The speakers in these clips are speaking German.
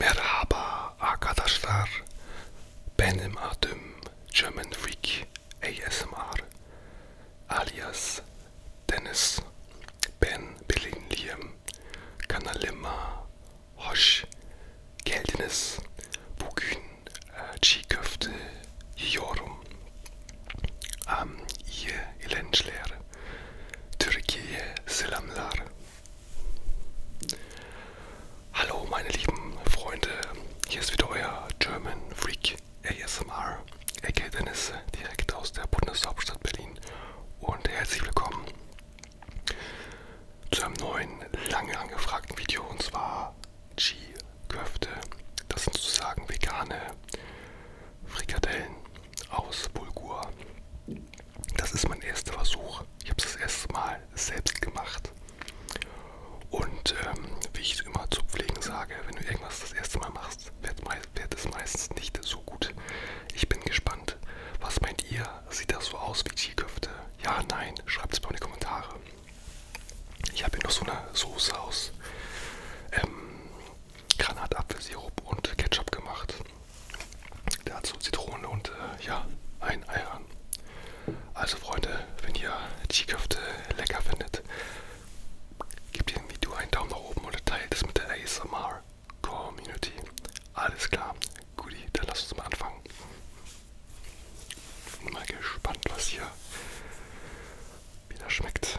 Merhaba arkadaşlar. Benim adım German Freak ASMR. alias Dennis, Ben, Billing, Liam, Kanalima, Hosh, Geldiniz, Bugün, Çiğköfte, äh, Yiyorum, Am, ähm, iyi eğlenceler, Türkiye, selamlar. Hallo meine lieben Freunde, hier ist wieder euer German Freak ASMR, aka Dennis, direkt aus der Bundeshauptstadt Berlin. Und herzlich willkommen zu einem neuen, lange angefragten Video und zwar G-Köfte. Das sind sozusagen vegane Frikadellen aus Bulgur. Das ist mein erster Versuch. Ich habe es das erste Mal selbst gemacht. Und ähm, wie ich immer zu Pflegen sage, wenn du irgendwas das erste Mal machst, wird, meist, wird es meistens nicht so gut. Ich bin gespannt. Was meint ihr? Sieht das so aus wie G-Köfte? Ja, nein? Schreibt es mal in die Kommentare. Ich habe hier noch so eine Soße aus ähm, Granatapfelsirup und Ketchup gemacht. Dazu Zitrone und äh, ja, ein Ei ran. Also Freunde, wenn ihr G-Köfte lecker findet, gebt dem Video einen Daumen nach oben oder teilt es mit der ASMR Community. Alles klar, guti, dann lasst uns mal anfangen. Bin mal gespannt, was hier wieder schmeckt.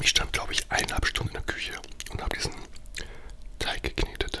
Ich stand, glaube ich, eineinhalb Stunden in der Küche und habe diesen Teig geknetet.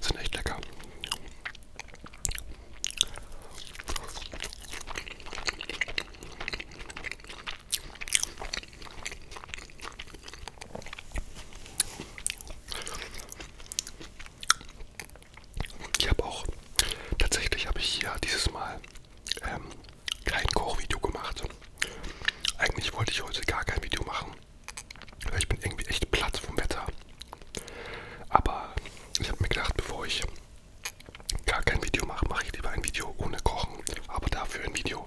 Sind echt lecker. Ich habe auch, tatsächlich habe ich hier dieses Mal ähm, kein Kochvideo gemacht. Eigentlich wollte ich heute gar kein Video machen, weil ich bin irgendwie echt platt vom Wetter. Aber ich habe mir gedacht, bevor ich gar kein Video mache, mache ich lieber ein Video ohne Kochen, aber dafür ein Video.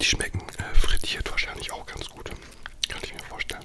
Die schmecken äh, frittiert wahrscheinlich auch ganz gut. Kann ich mir vorstellen.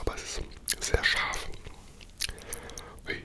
Aber es ist sehr scharf. Ui.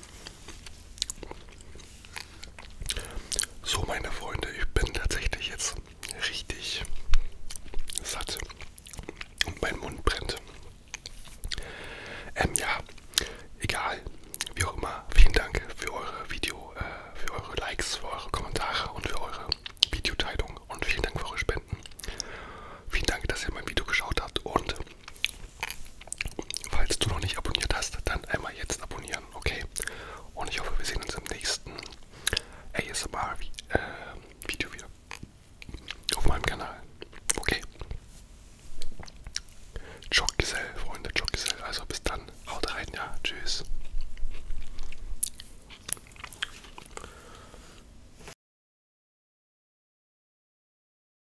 So, meine Freunde, ich bin tatsächlich jetzt richtig satt und mein Mund brennt. Ähm, ja, egal, wie auch immer. Vielen Dank für eure Video, äh, für eure Likes, für eure Kommentare und für eure Videoteilung und vielen Dank für eure Spenden. Vielen Dank, dass ihr mein Video geschaut habt und falls du noch nicht abonniert hast, dann einmal jetzt abonnieren an, okay? Und ich hoffe, wir sehen uns im nächsten ASMR-Video äh, wieder. Auf meinem Kanal, okay? Joggesell, Freunde, Joggesell. Also bis dann, haut rein, ja, tschüss.